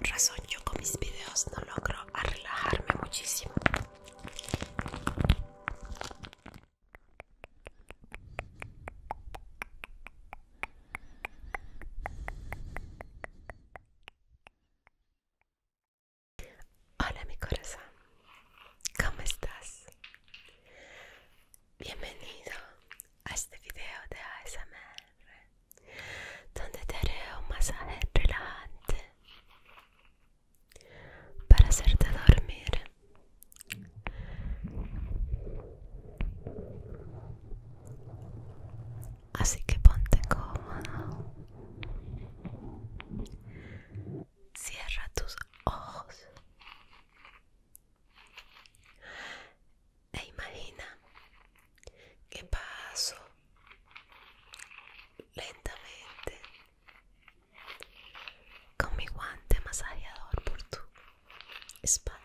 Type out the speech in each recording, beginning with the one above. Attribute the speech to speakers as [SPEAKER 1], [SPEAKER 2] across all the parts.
[SPEAKER 1] razón yo con mis videos no logro relajarme muchísimo. Hola mi corazón, ¿cómo estás? Bienvenido a este video de ASMR donde te haré un masaje relajante para hacerte dormir. Así que ponte cómodo. Cierra tus ojos e imagina que paso lentamente con mi guante masajeador por tu espalda.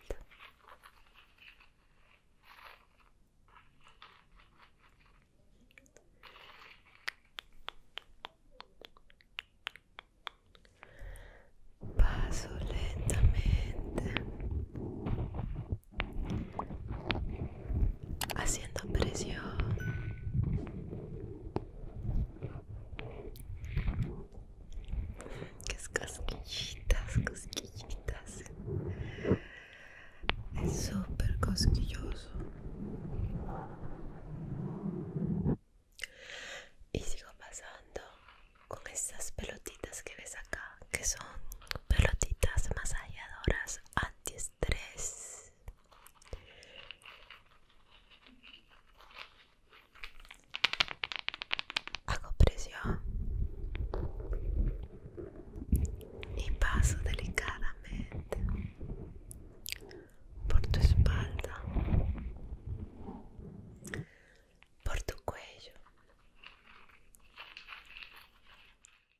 [SPEAKER 1] Paso lentamente haciendo presión que es cosquillitas cosquillitas es súper cosquilloso y sigo pasando con estas pelotitas que ves acá que son pelotitas anti-estrés Hago presión y paso delicadamente por tu espalda, por tu cuello.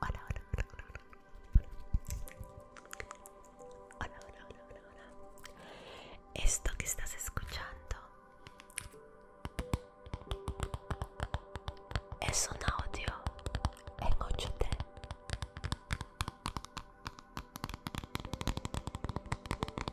[SPEAKER 1] Hola, hola, hola, hola, hola. Hola, hola, hola, hola, Esto que estás escuchando es un audio en 8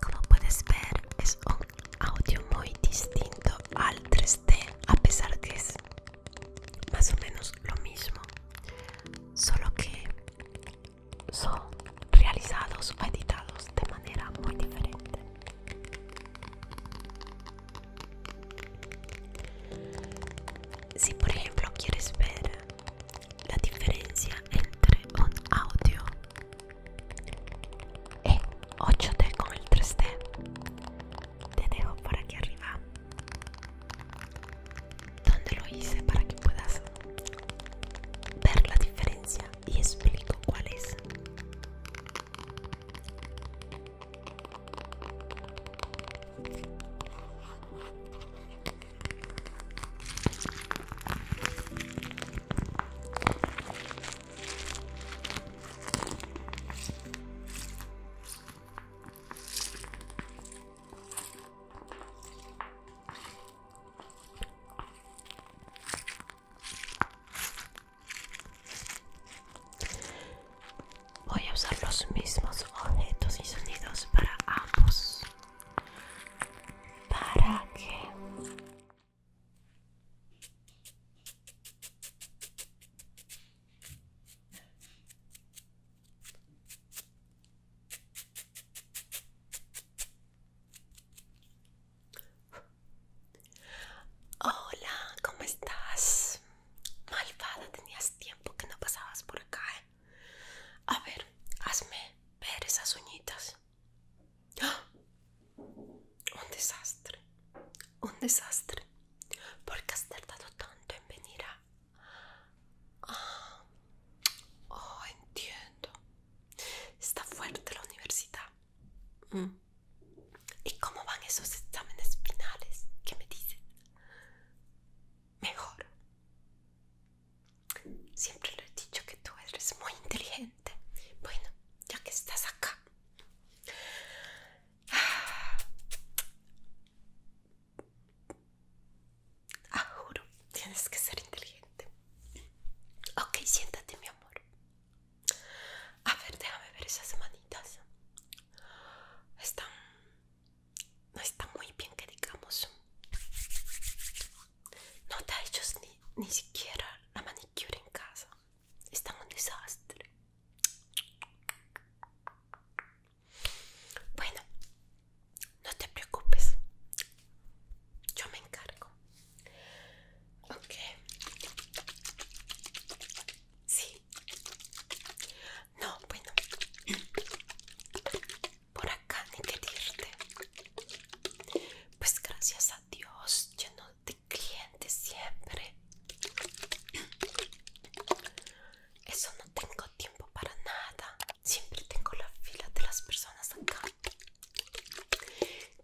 [SPEAKER 1] Como puedes ver, es un audio muy distinto al 3D, a pesar que es más o menos lo mismo, solo que son realizados o editados de manera muy diferente. Si por ejemplo quieres ver la diferencia entre un audio y 8D con el 3D. Te dejo por aquí arriba donde lo hice para que puedas ver la diferencia y explico cuál es. Voy a usar los mismos objetos y sonidos para ambos para qué? Hola, ¿cómo estás? Malvada, tenías tiempo que no pasabas por acá. ¿eh? A ver, hazme ver esas uñitas. ¡Ah! Un desastre, un desastre. porque has tardado tanto en venir a...? Ah, oh, entiendo. Está fuerte la universidad. Mm. ¿Y cómo van esos exámenes finales? ¿Qué me dices? Mejor. Siempre le he dicho que tú eres muy inteligente. Bueno, ya que estás acá. Ah, ah, juro, tienes que ser inteligente. Ok, siéntate, mi amor. A ver, déjame ver esas manitas. Están no está muy bien que digamos no te ha hecho ni, siquiera la manicure en casa está un desastre bueno no te preocupes yo me encargo ok sí no bueno por acá ni que Pues gracias a Dios, lleno de clientes siempre. Eso no tengo tiempo para nada. Siempre tengo la fila de las personas acá.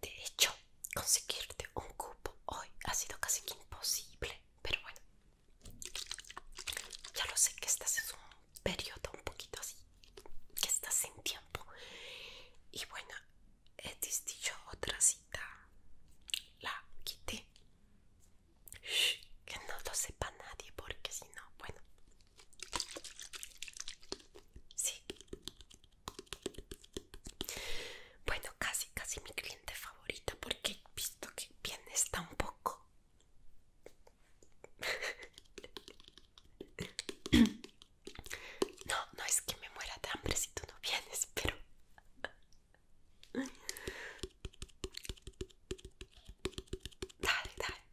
[SPEAKER 1] De hecho, conseguirte un cupo hoy ha sido casi imposible. Pero bueno, ya lo sé que estás es un periodo un poquito así que estás sin tiempo y bueno he dicho otra cita la quité que no lo sepa nadie porque si no bueno sí bueno casi casi mi cliente favorita porque he visto que bien está un poco no, no es que me muera de hambre si tú no vienes, pero... Dale, dale.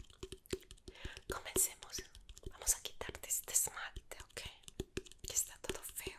[SPEAKER 1] Comencemos. Vamos a quitarte este esmalte, ¿ok? Que está todo feo.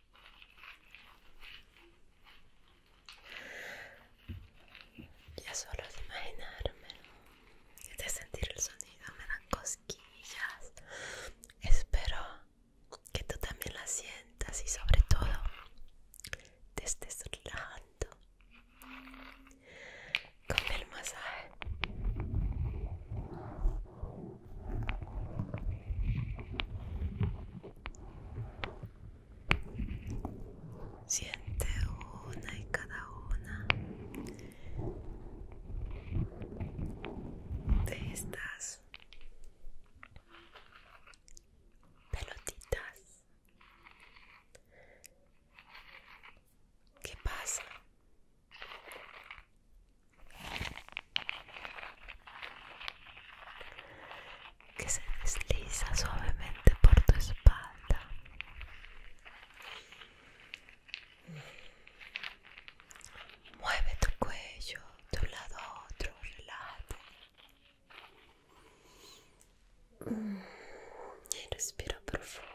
[SPEAKER 1] Ya solo de imaginarme de sentir el sonido me dan cosquillas. Espero que tú también la sientas y sobre todo te estés relajando con el masaje. Siente una y cada una de estas pelotitas. ¿Qué pasa? que se desliza suavemente por tu espalda. Mueve tu cuello de un lado a otro, relaja Y respira profundo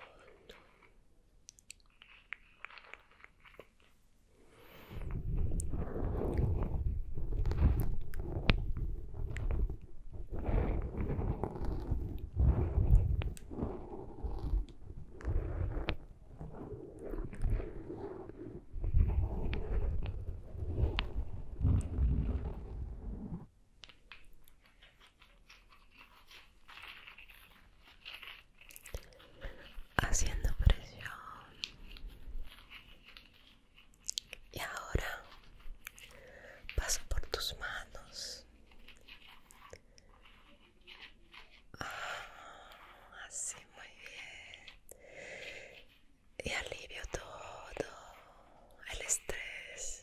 [SPEAKER 1] haciendo presión y ahora paso por tus manos. Ah, así, muy bien. Y alivio todo el estrés.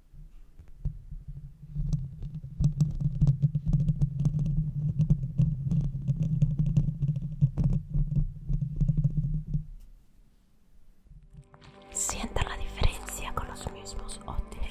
[SPEAKER 1] Sienta la diferencia con los mismos objetos,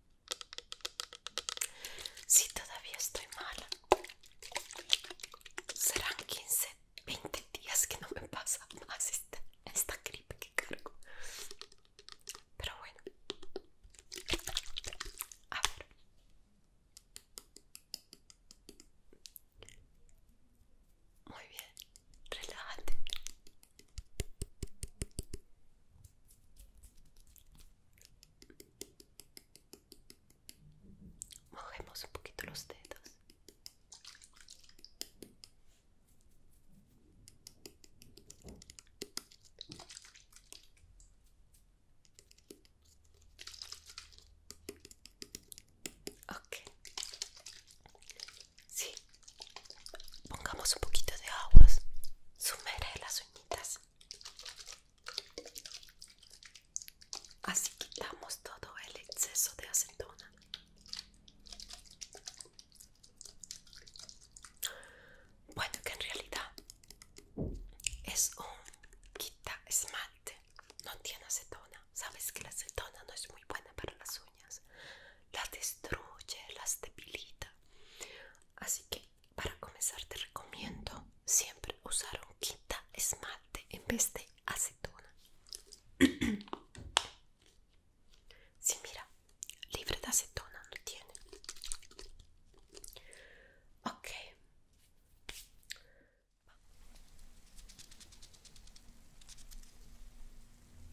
[SPEAKER 1] Si todavía estoy mala, serán 15, 20 días que no me pasa más esta, esta gripe que cargo. Pero bueno, a ver. Muy bien, relájate, Mojemos un poquito los dedos. Okay. Sí, Pongamos un poquito de aguas. Sumerge las uñitas. Así quitamos todo el exceso de acetona. Bueno, que en realidad es un quita esmalte, no tiene acetona. Sabes que la acetona no es muy buena para las uñas, las destruye, las debilita. Así que para comenzar te recomiendo siempre usar un quinta esmalte en vez de acetona. Sí, mira, libre de acetona lo tiene. Ok.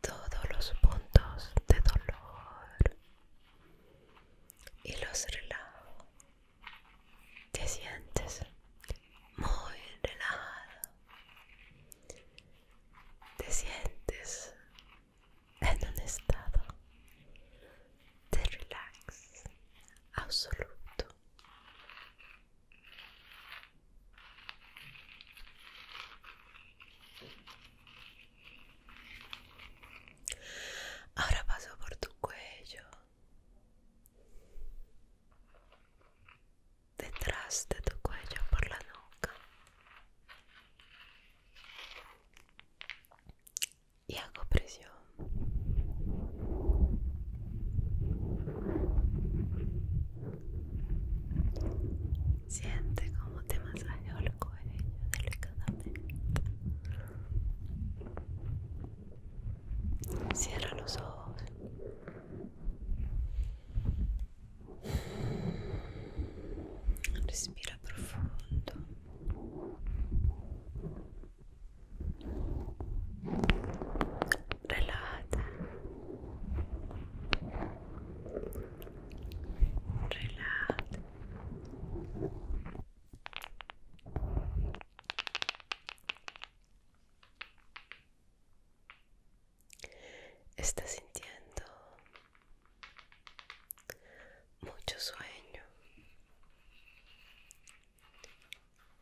[SPEAKER 1] todos los puntos de dolor y los relajo. Te sientes muy relajado. Te sientes en un estado de relax absoluto. Ahora paso por tu cuello, detrás de tu cuello, por la nuca. Y hago presión. Siente como te masajeo el cuello delicadamente. Cierra los ojos. Respira profundo. Relaja. Relájate. Estás sintiendo mucho sueño.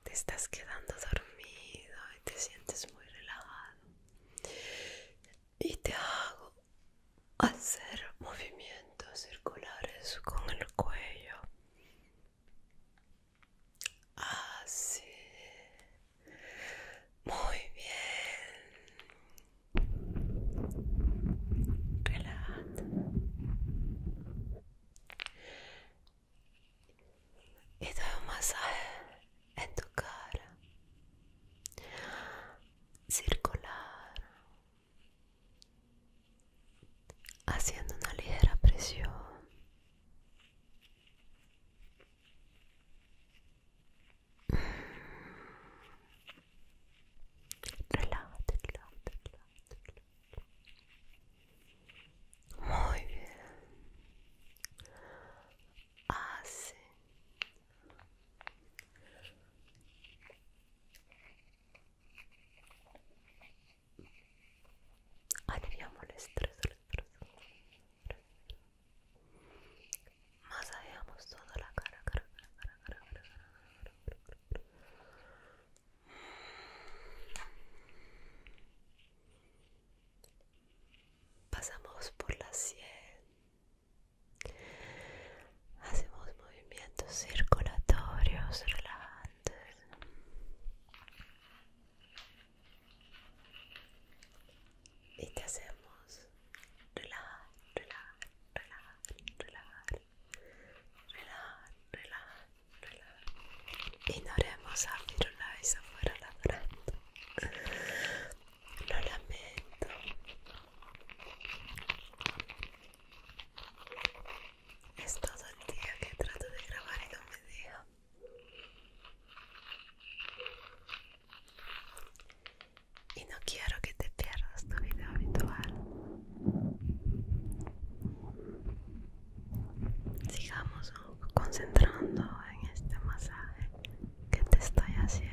[SPEAKER 1] Te estás quedando dormido y te sientes muy relajado y te hago hacer movimientos circulares con el cuello así muy bien y doy un masaje en tu cara, circular, haciendo una ligera presión. Relájate, Muy bien. así aliviamos el estrés más toda la cara, cara, cara, cara, cara, cara, cara, cara, cara. Pasamos por la sien Hacemos movimientos circulatorios relajantes. Y te hacemos relajar, relajar, relajar, relajar, relajar, relajar, relajar. Ignoremos abrir una vez afuera la frente. Lo lamento. Es todo el día que trato de grabar y no Y no quiero que te pierdas tu video habitual. Sigamos concentrando en este masaje ¿Qué te estoy haciendo.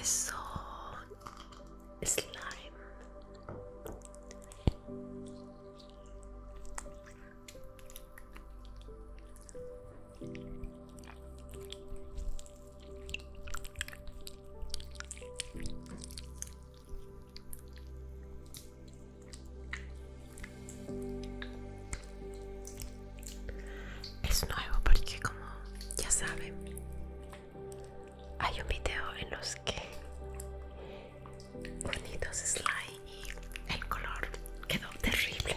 [SPEAKER 1] Eso. Slime. Es nuevo porque como ya saben hay un video en los que es slides y el color quedó terrible.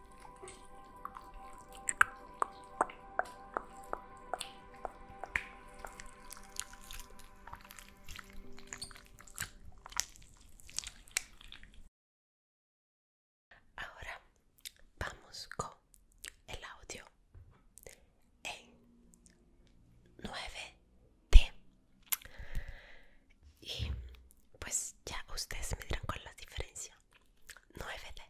[SPEAKER 1] Ahora vamos con el audio en 9D. Y pues ya ustedes me dirán cuál es la diferencia. 9D.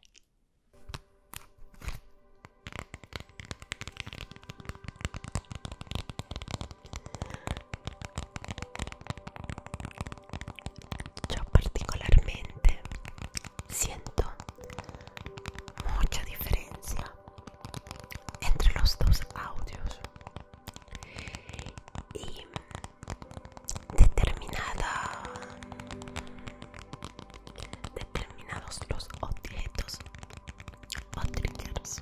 [SPEAKER 1] Yo particularmente siento mucha diferencia entre los dos audios y determinada determinados los objetos o triggers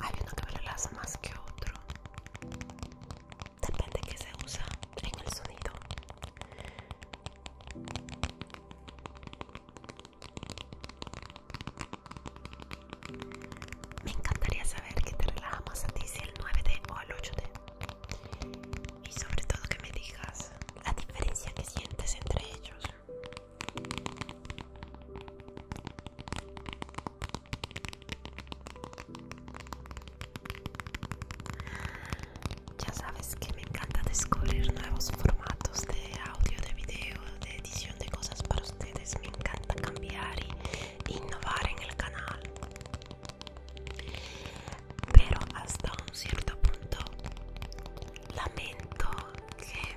[SPEAKER 1] Hay uno que me relaja más que otro. Depende que se usa en el sonido. Me encantaría saber qué te relaja más a ti, si el 9D o el 8D y sobre todo que me digas la diferencia que sientes entre ellos. Ya sabes que me encanta descubrir nuevos formatos de audio, de video, de edición de cosas para ustedes. Me encanta cambiar e innovar en el canal pero hasta un cierto punto lamento que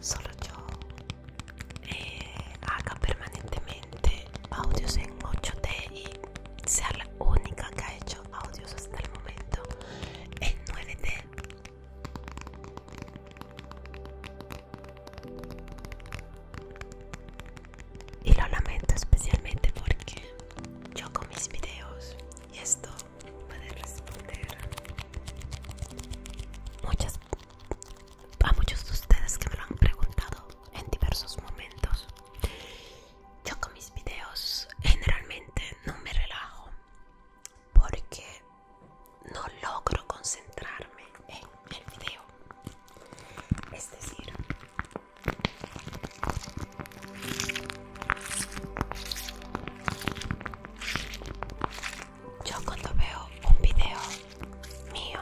[SPEAKER 1] solo yo eh, haga permanentemente audios en 8D y sea la única que ha hecho audios hasta el momento en 9D y lo lamento especialmente porque yo con mis videos y esto puede responder a muchos de ustedes que me lo han preguntado en diversos momentos yo con mis videos generalmente no me relajo porque no logro concentrarme en el video es decir yo cuando veo un video mío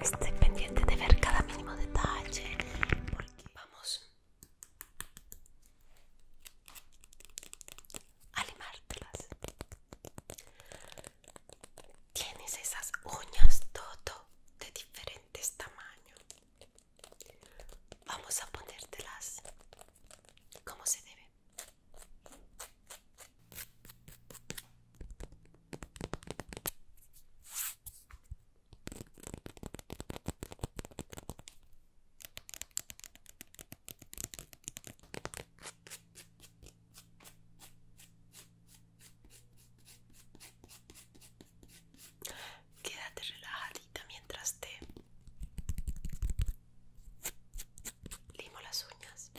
[SPEAKER 1] estoy pendiente de ver cada mínimo detalle porque vamos a limártelas Tienes esas uñas todo de diferentes tamaños. Vamos a ponértelas como se debe. Quédate relajadita mientras te limo las uñas.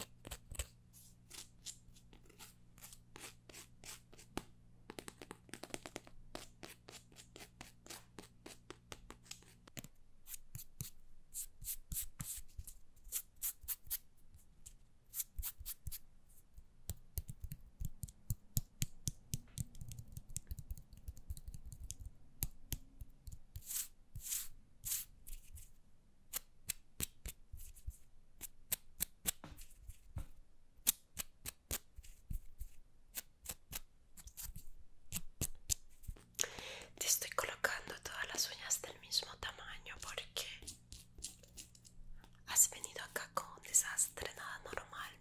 [SPEAKER 1] Te estoy colocando todas las uñas del mismo tamaño porque Has venido acá con un desastre, nada normal.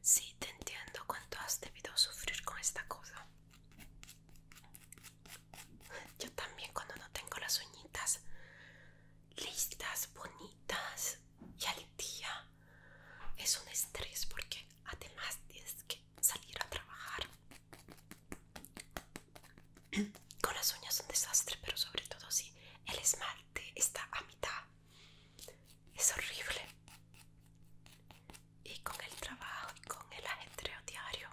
[SPEAKER 1] Sí, te entiendo cuánto has debido sufrir con esta cosa. Yo también cuando no tengo las uñitas listas, bonitas y al día es un estrés porque además tienes que salir a trabajar. Con las uñas un desastre, pero sobre todo si el esmalte está a mitad. Es horrible. Y con el trabajo y con el ajetreo diario,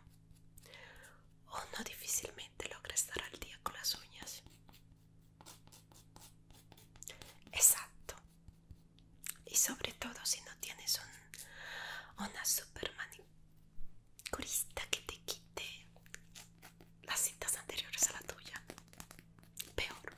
[SPEAKER 1] uno difícilmente logra estar al día con las uñas. Exacto. Y sobre todo si no tienes una super manicurista que te quite las cintas anteriores a la tuya. Peor.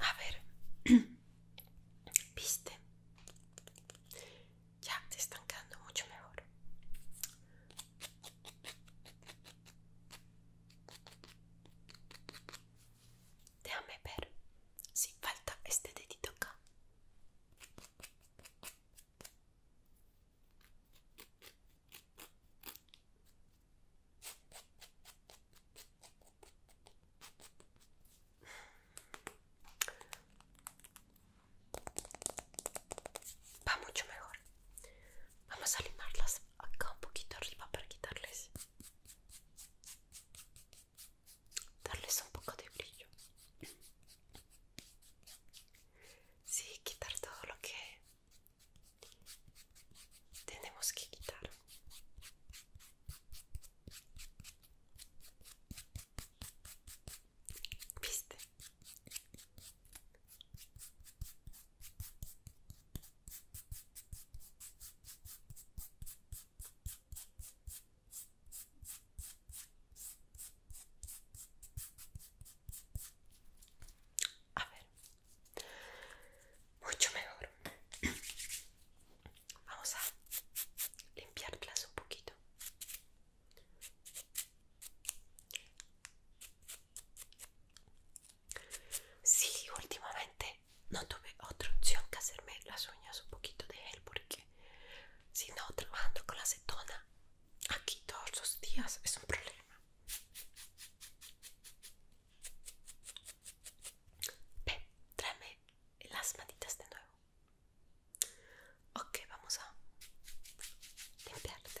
[SPEAKER 1] A ver, viste, ya te están quedando mucho mejor. Déjame ver si falta este dedito acá. Va mucho mejor. Vamos a limarlas acá un poquito arriba para quitarles. Darles un poco de brillo. Sí, quitar todo lo que tenemos que quitar. ¿Viste? A ver, mucho mejor. Vamos a limpiarlas un poquito. Sí, últimamente no tuve otra opción que hacerme las uñas un poquito de gel porque si no trabajando con la acetona aquí todos los días es un problema. Ven, tráeme las matitas de nuevo. Ok, vamos a limpiarte.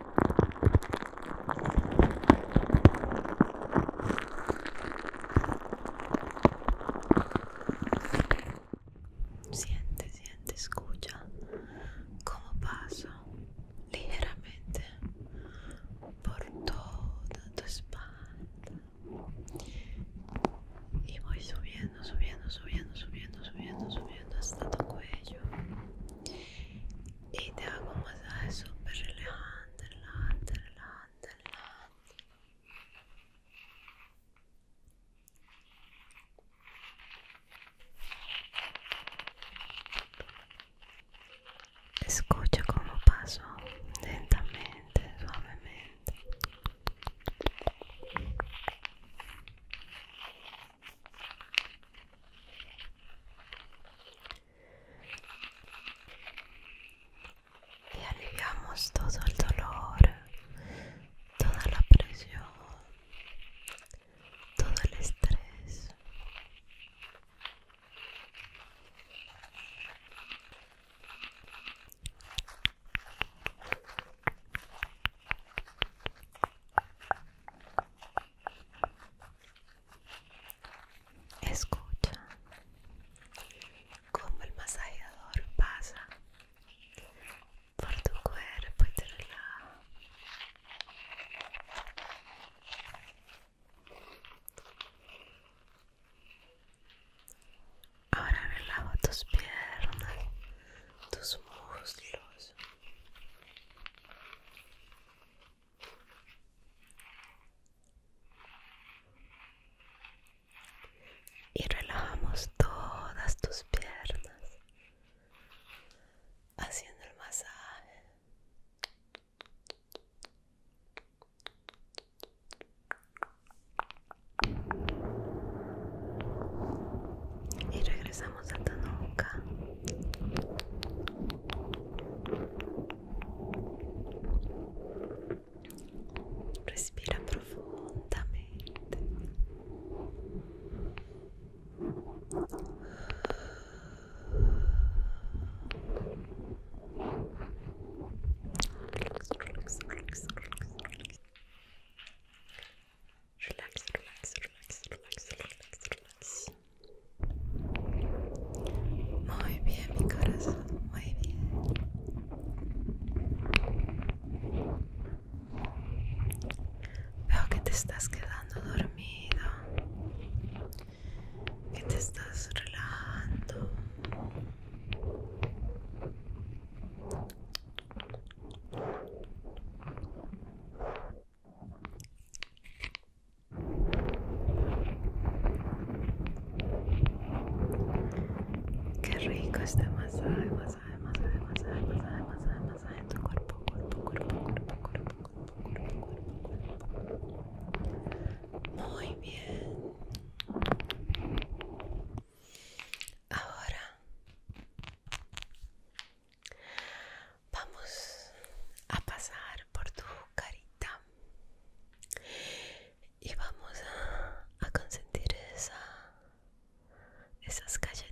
[SPEAKER 1] Siente, siente, escucha cómo paso ligeramente por toda tu espalda y voy subiendo, subiendo, subiendo, subiendo, subiendo, subiendo hasta tu cuello y te hago un masaje super relajante, relajante, relajante, relajante. Escucha cómo paso lentamente, suavemente y aliviamos todo el dolor, toda la presión, todo el estrés. Escucha como el masajeador pasa por tu cuerpo y te relaja. Ahora lavo tus piernas, tus muslos. Y relajamos todas tus piernas haciendo el masaje. Y regresamos a tu Respira profundamente. Relax, relax, relax, relax, relax. Relax, relax, relax, relax, relax, relax. Muy bien, mi corazón, muy bien. Veo que te estás quedando dormido, que te estás relajando. Qué rico masa, este masa, tu cuerpo, cuerpo, cuerpo, cuerpo, cuerpo, cuerpo, cuerpo, cuerpo. Muy bien. Ahora Vamos a pasar por tu carita y vamos a, consentir esa, esas galletitas.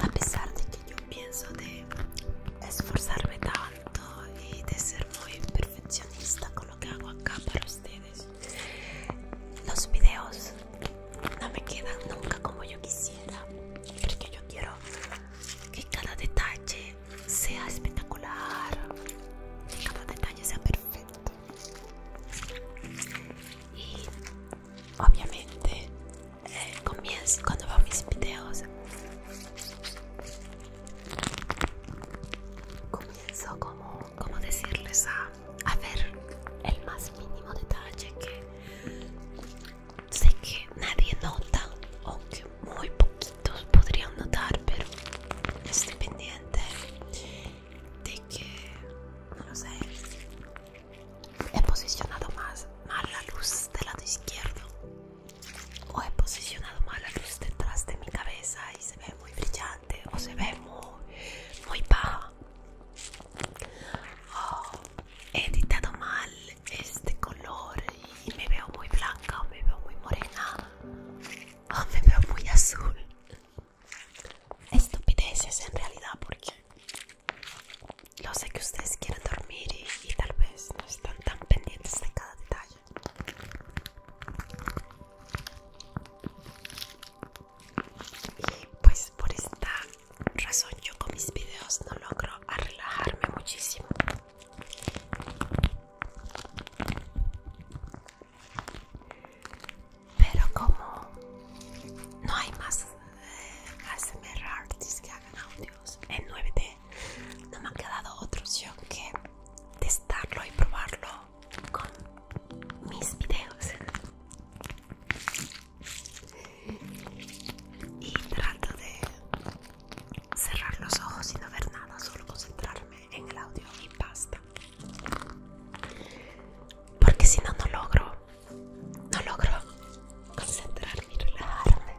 [SPEAKER 1] A pesar de que yo pienso de esforzarme tanto y de ser muy perfeccionista con lo que hago acá para ustedes, los videos no me quedan nunca como yo quisiera, porque yo quiero que cada detalle sea espectacular, que cada detalle sea perfecto. Y obviamente, eh, comienzo cuando veo mis videos, comienzo como, como decirles a, a ver el más mínimo detalle que Sé que nadie nota, aunque muy poquitos podrían notar, pero estoy pendiente de que, no lo sé, he posicionado más, más la luz del lado izquierdo o he posicionado más la luz detrás de mi cabeza y se ve muy brillante o se ve muy, muy baja oh, he editado mal este color y me veo muy blanca o me veo muy morena o me veo muy azul. Estupideces en realidad porque lo sé que ustedes quieren dormir y, y tal vez no están tan pendientes de cada detalle. Y pues por esta razón yo con mis videos no logro a relajarme muchísimo. Pero como no hay más HMR eh, artists que hagan audios en 9D, no me ha quedado otra opción que testarlo y probarlo con mis videos y trato de cerrar los ojos y no ver nada, solo concentrarme en el audio y basta. Porque si no, no logro, no logro concentrarme y relajarme.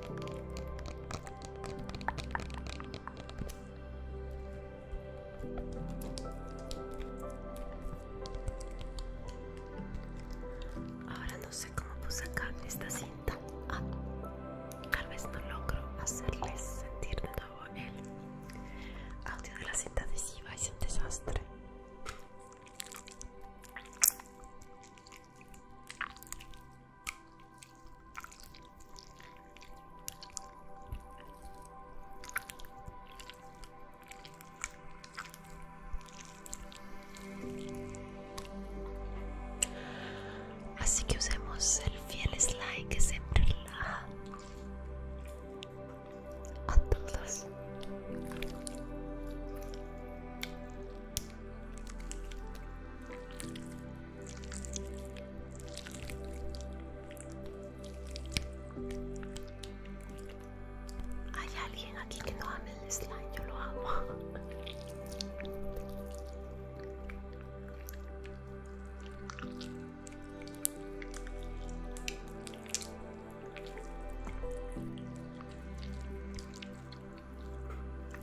[SPEAKER 1] Ahora no sé cómo puse acá esta cinta. Ah, tal vez no logro hacerles sentir de nuevo el audio de la cinta adhesiva. Es un desastre. Así que usemos el fiel slime que siempre relaja a todos. Hay alguien aquí que no ame el slime, yo lo amo.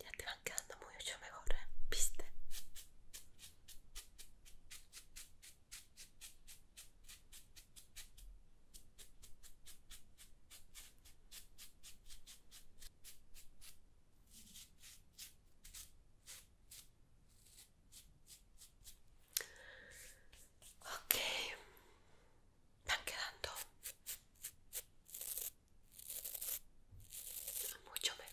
[SPEAKER 1] Ya te van quedando mucho mejor, ¿eh? ¿viste? Ok, están quedando mucho mejor.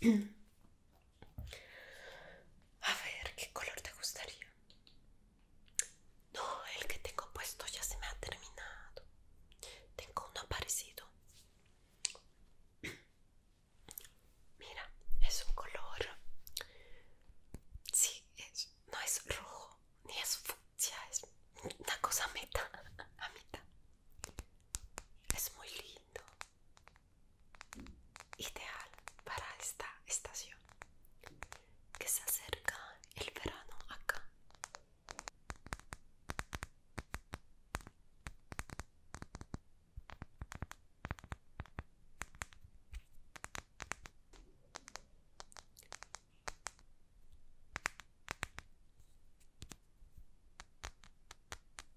[SPEAKER 1] A ver, ¿qué color te gustaría? No, el que tengo puesto ya se me ha terminado. Tengo uno parecido. Mira, es un color. Sí, es, no es rojo, ni es fucsia, es una cosa meta, a mitad. Es muy lindo ideal para esta estación que se acerca el verano acá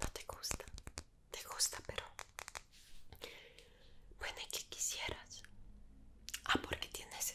[SPEAKER 1] No te gusta, te gusta, pero bueno, ¿y qué quisieras? Ah, porque tienes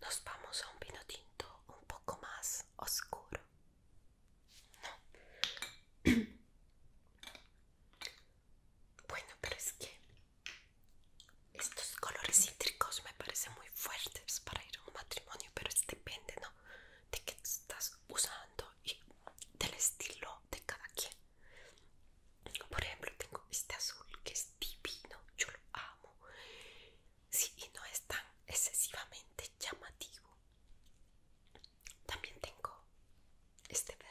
[SPEAKER 1] Nos vamos a un vino tinto um pouco mais oscuro. No. Bueno, pero es que estos colores cítricos me parecen muy fuertes para ir a un matrimonio, pero depende, ¿no? De qué estás usando y del estilo de cada quien. Por ejemplo, tengo este azul que es divino, yo lo amo. Sí, y no es tan excesivamente llamativo. También tengo este verde.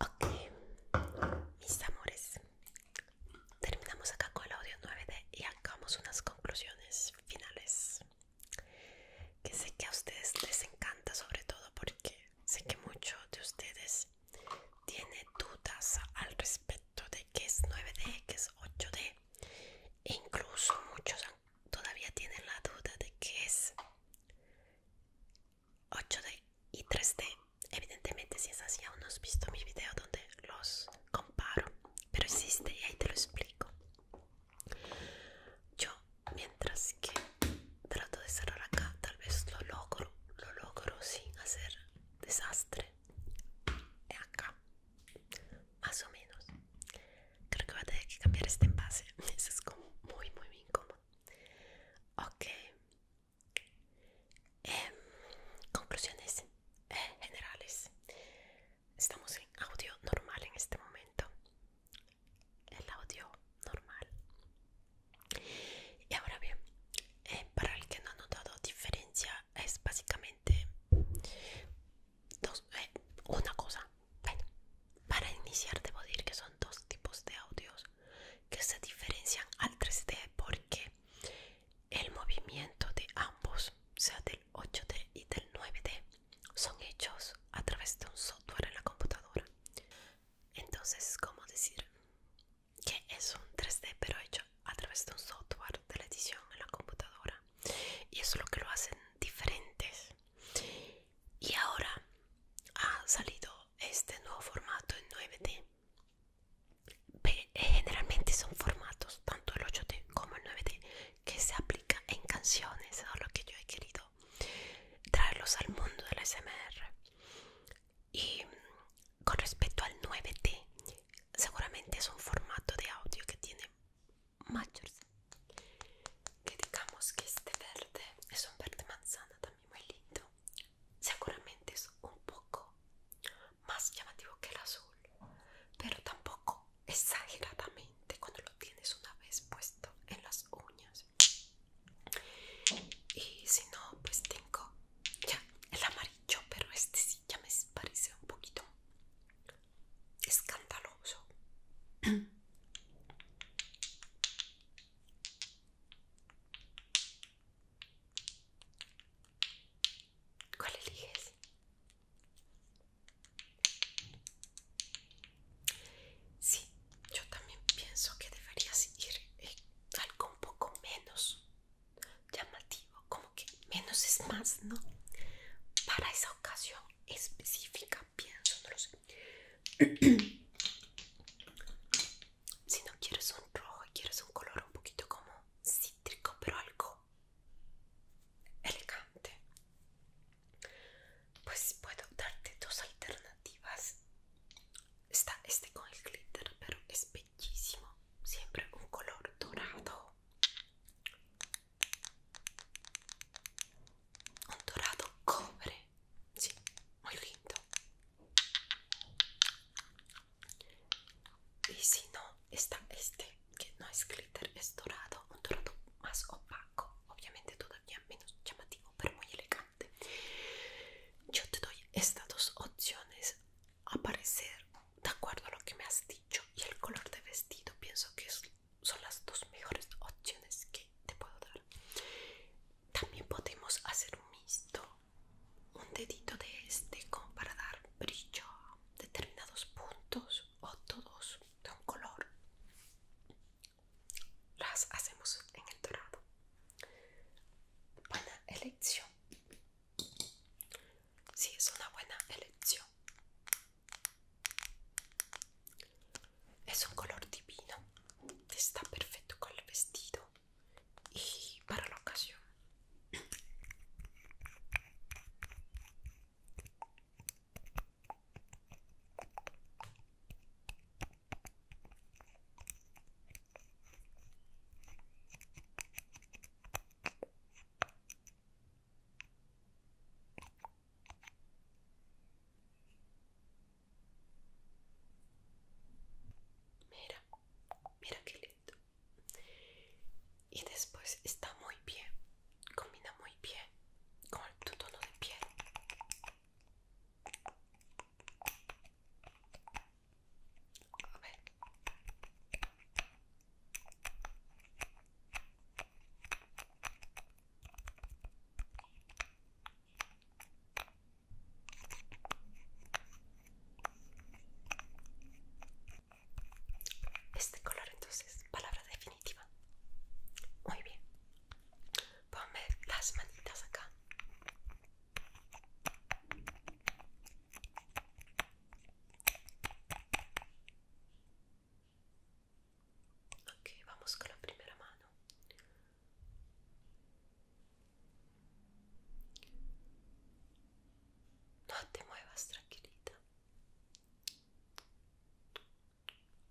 [SPEAKER 1] Ok, mis amores, terminamos acá con el audio 9D y hagamos unas conclusiones finales. Que sé que a ustedes les encanta, sobre todo porque sé que muchos de ustedes tienen dudas al respecto de que es 9D, que es 8D. E incluso muchos todavía tienen la duda de que es 8D y 3D. Evidentemente, si es así, aún no has visto mi video donde los comparo, pero existe y ahí te lo explico. Yo, mientras que trato de cerrar acá, tal vez lo logro, lo logro sin hacer desastre acá más o menos creo que va a tener que cambiar este envase eso es como muy muy incómodo ok em, conclusiones eh, generales estamos en audio normal en este momento el audio normal y ahora bien eh, para el que no ha notado diferencia es básicamente dos, eh, una cosa para iniciar debo decir que son dos tipos de audios que se diferencian al 3D porque el movimiento de ambos sea del 8D y del 9D son hechos a través de un software en la computadora entonces como decir que es un 3D pero hecho a través de un software de la edición en la computadora y eso es lo que lo hacen diferentes y ahora ha salido este nuevo formato en 9D eh, generalmente son formatos tanto el 8D como el 9D que se aplica en canciones eso lo que yo he querido traerlos al mundo del SMR y con respecto al 9T, seguramente es un formato de audio que tiene mayores. Que digamos que este verde es un verde manzana también muy lindo. Seguramente es un poco más llamativo que el azul, pero tampoco exageradamente cuando lo tienes una vez puesto en las uñas. Y si no, pues tengo ya el amarillo, pero este sí ya me parece un poquito escandaloso. ¿Cuál eliges? Sí, yo también pienso que debería seguir eh, algo un poco menos llamativo, como que menos es más, ¿no? Para esa ocasión específica, pienso, no lo sé. si no quieres un rojo, quieres un color un poquito como cítrico, pero algo elegante, pues puedo darte dos alternativas. Está este con el glitter, pero es siempre un color dorado, un dorado cobre, muy lindo. Y si no, está este, que no es glitter, es dorado, un dorado más opaco, obviamente todavía menos llamativo, pero muy elegante. Yo te doy estas dos opciones aparecer parecer de acuerdo a lo que me has dicho y el color de vestido, pienso que son las dos mejores opciones que te puedo dar. También podemos hacer un mixto, un dedito de este como para dar brillo a determinados puntos o todos de un color. Las hacemos en el dorado. Buena elección. Sí, es una buena elección. Es un color divino. Está perfecto con el vestido y para la ocasión. Mira, mira qué lindo. Y después está muy bien, combina muy bien con tu tono de piel. Este color entonces, palabra definitiva. Muy bien. Ponme las manitas acá. Ok, vamos con la primera mano. No te muevas, tranquilita.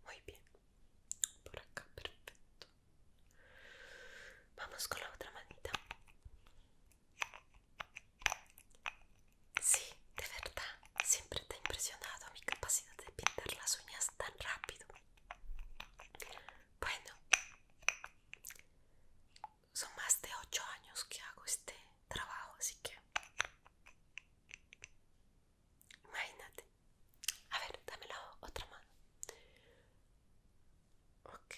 [SPEAKER 1] Muy bien. Por acá, perfecto. Vamos con la otra manita. Sí, de verdad, siempre te ha impresionado mi capacidad de pintar las uñas tan rápido. Bueno, son más de 8 años que hago este trabajo, así que... Imagínate. A ver, dame la otra mano. Ok.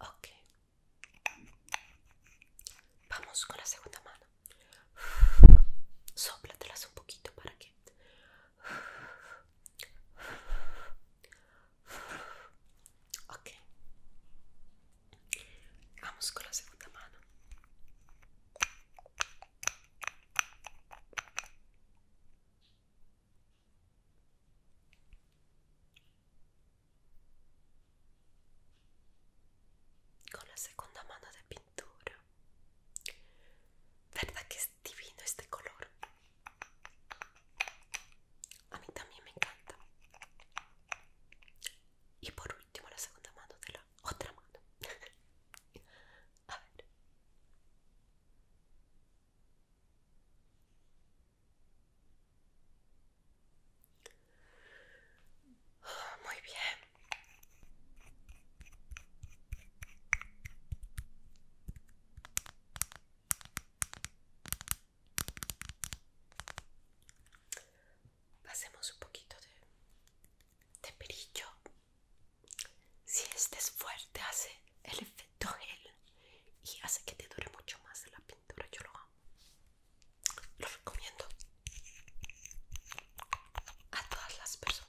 [SPEAKER 1] Ok. Vamos con la segunda mano. soplatelas un poquito para que... Ok. Vamos con la segunda mano. Con la segunda mano de pintura. ¿Verdad que es divino este color? A mí también me encanta. Y por último la segunda mano de la otra, mano. muy bien. Pasemos un poquito de, de perillo si este es fuerte hace el efecto gel y hace que te dure mucho más la pintura, yo lo amo. Lo recomiendo a todas las personas.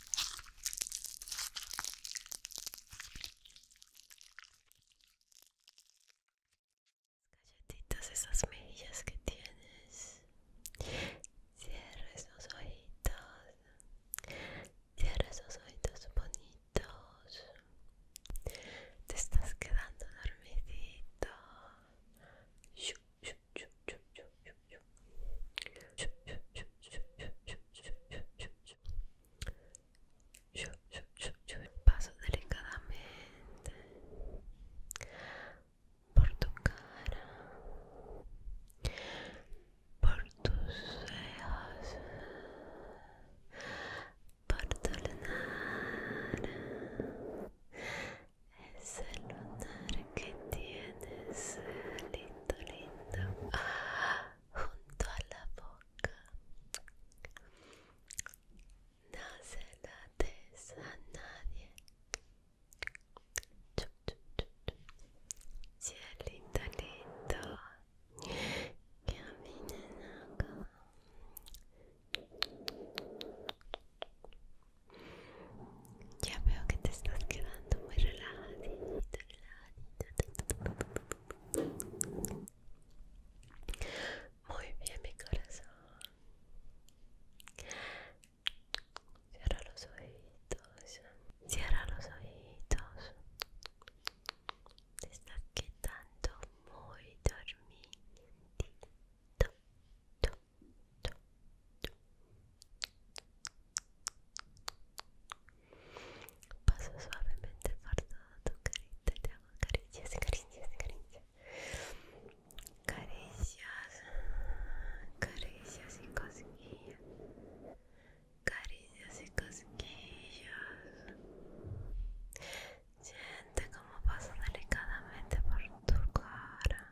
[SPEAKER 1] galletitas esas mejillas que tienes Cierre esos oídos cierres esos ojitos bonitos te estás quedando dormidito Paso delicadamente por tu cara, por tus cejas, por tu es lunar que tienes lindo, lindo junto a la boca. No se la des a nadie. Cielito lindo. Caminen acá. Ya veo que te estás quedando muy relajado, Muy bien, mi corazón. Cierra los oídos, Cierra los oídos. Te estás quedando muy dormidito. Paso suavemente por todo tu carita, te hago caricias, caricias, caricias. Caricias, caricias y cosquillas. Caricias y cosquillas. Siente como paso delicadamente por tu cara.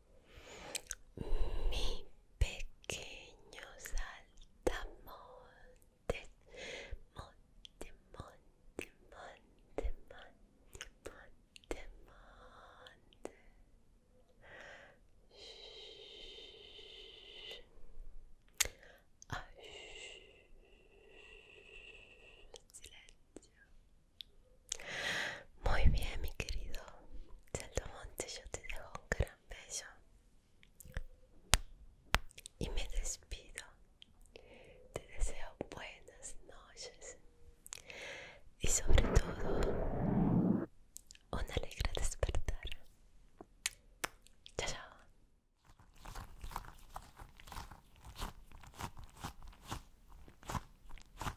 [SPEAKER 1] Mi pequeño saltamontes, monte, monte, monte, monte, monte, monte. Shhh. Ah, shh. Silencio. Muy bien, mi querido Monte, yo te dejo un gran beso y me despido. Te deseo buenas noches y sobre todo un alegre despertar. Chao, chao.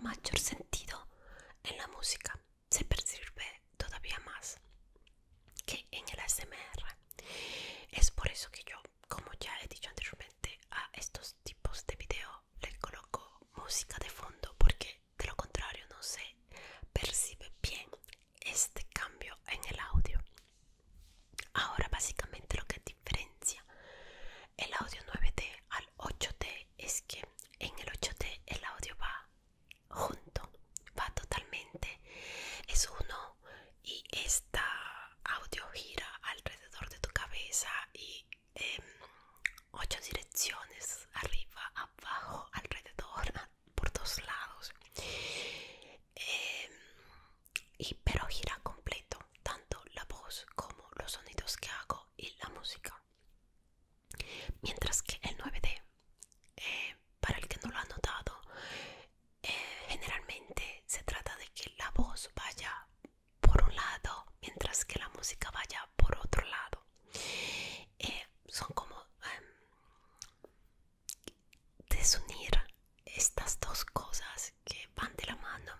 [SPEAKER 1] Mayor sentido en la música se percibe todavía más que en el ASMR. Es por eso que yo, como ya he dicho anteriormente, a estos tipos de video les coloco música de fondo porque de lo contrario no se percibe bien este cambio en el audio. Ahora básicamente lo que diferencia el audio 9D al 8D es que en el 8D el audio va junto, va totalmente, es uno y esta audio gira alrededor de tu cabeza y Em, ocho direcciones, arriba, abajo, alrededor, por dos lados. Em, y pero gira completo tanto la voz como los sonidos que hago y la música. Mientras que el 9D, eh, para el que no lo ha notado, eh, generalmente se trata de que la voz vaya por un lado mientras que la música vaya por otro lado. Eh, son como em, desunir estas dos cosas que van de la mano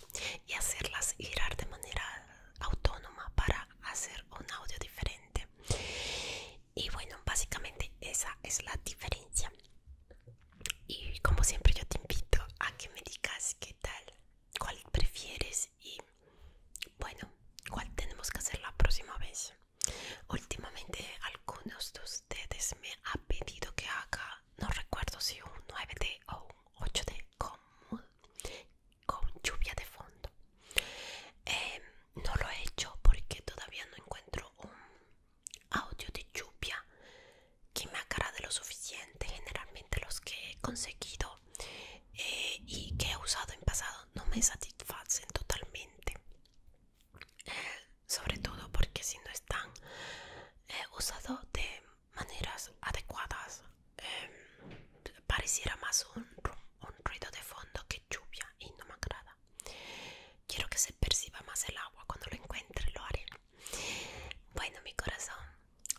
[SPEAKER 1] y hacerlas girar de manera autónoma para hacer un audio diferente y bueno básicamente esa es la diferencia y como siempre yo te invito a que me digas qué tal cuál prefieres y bueno, ¿cuál tenemos que hacer la próxima vez? Últimamente algunos de ustedes me han pedido que haga, no recuerdo si un 9D o un 8D con, con lluvia de fondo. Em, no lo he hecho porque todavía no encuentro un audio de lluvia que me haga de lo suficiente. Generalmente los que he conseguido eh, y que he usado en pasado no me satisfacen totalmente sobre todo porque si no están eh, usados de maneras adecuadas em, pareciera más un, un ruido de fondo que lluvia y no me agrada quiero que se perciba más el agua cuando lo encuentre lo haré bueno mi corazón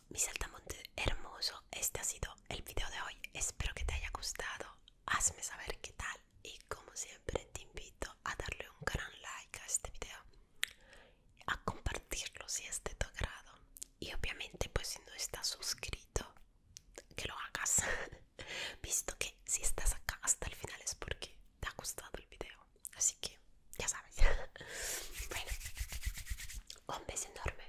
[SPEAKER 1] mi monte hermoso, este ha sido el video de hoy. Espero que te haya gustado. Hazme saber qué tal. Y como siempre, te invito a darle un gran like a este video, a compartirlo si es de tu agrado. Y obviamente, pues si no estás suscrito, que lo hagas. Visto que si estás acá hasta el final es porque te ha gustado el video. Así que ya sabes. bueno, un beso enorme.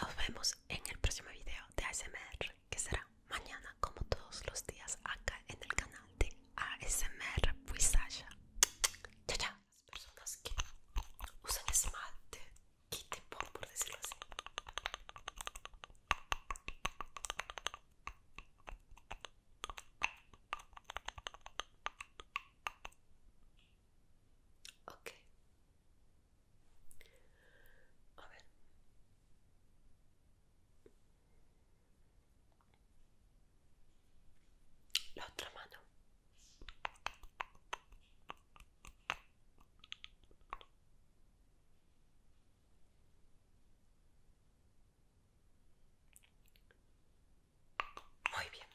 [SPEAKER 1] Nos vemos en el próximo video de ASMR, que será mañana, como todos los días, acá en el canal de ASMR Puisaya. Chao, chao. Las personas que usan esmalte, quite por, por decirlo así. Ok. A ver. La otra mano. Muy bien.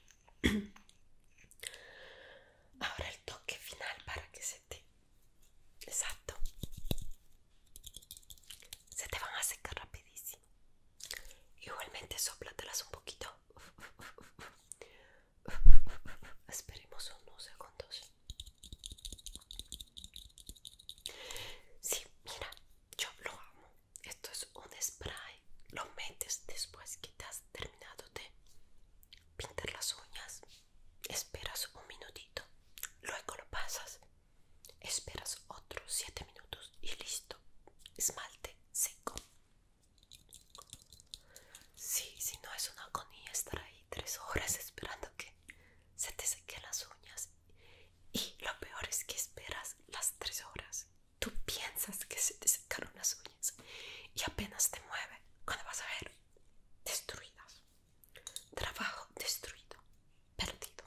[SPEAKER 1] Ahora el toque final para que se te... Exacto. Se te van a secar rapidísimo. Igualmente soplatelas un poquito. Esperemos unos segundos. Sí, mira, yo lo amo. Esto es un spray. Lo metes después que te has terminado de pintar las uñas, esperas un minutito, luego lo pasas, esperas otros 7 minutos y listo, esmalte seco. Sí, si no es una agonía estar ahí 3 horas esperando que se te sequen las uñas y lo peor es que esperas las 3 horas. Tú piensas que se te secaron las uñas y apenas te mueve cuando vas a ver destruidas trabajo destruido perdido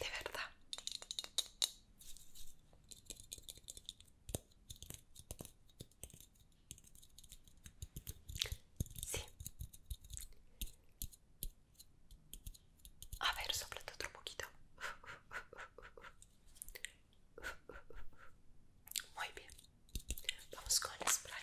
[SPEAKER 1] de verdad. Sí. A ver, soplate otro poquito. Muy bien. Vamos con el spray.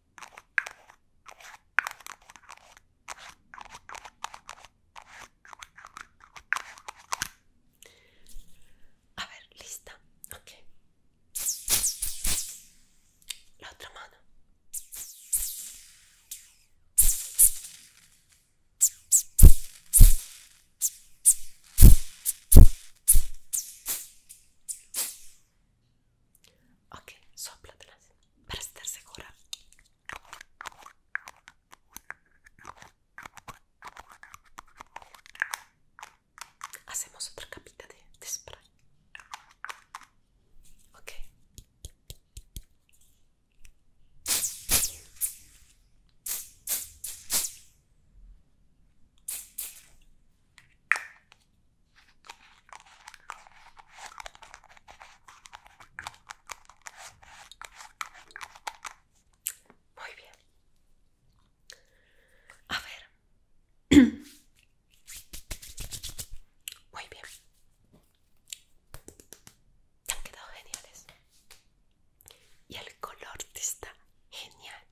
[SPEAKER 1] A ver, lista, ok. La otra mano. Ok, las para estar segura. Hacemos otra capita de, de spray. Ok. Muy bien. A ver. Muy bien. han quedado geniales. Y el color está genial.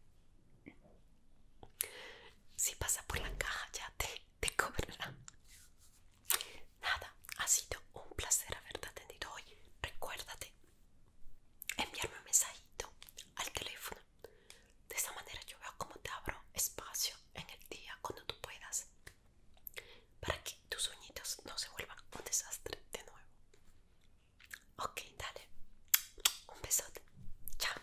[SPEAKER 1] Si pasa por la caja ya te te cobrará nada ha sido un placer haberte atendido hoy recuérdate enviarme un mensajito al teléfono de esa manera yo veo cómo te abro espacio en el día cuando tú puedas para que tus sueñitos no se vuelvan un desastre de nuevo ok dale un besote chao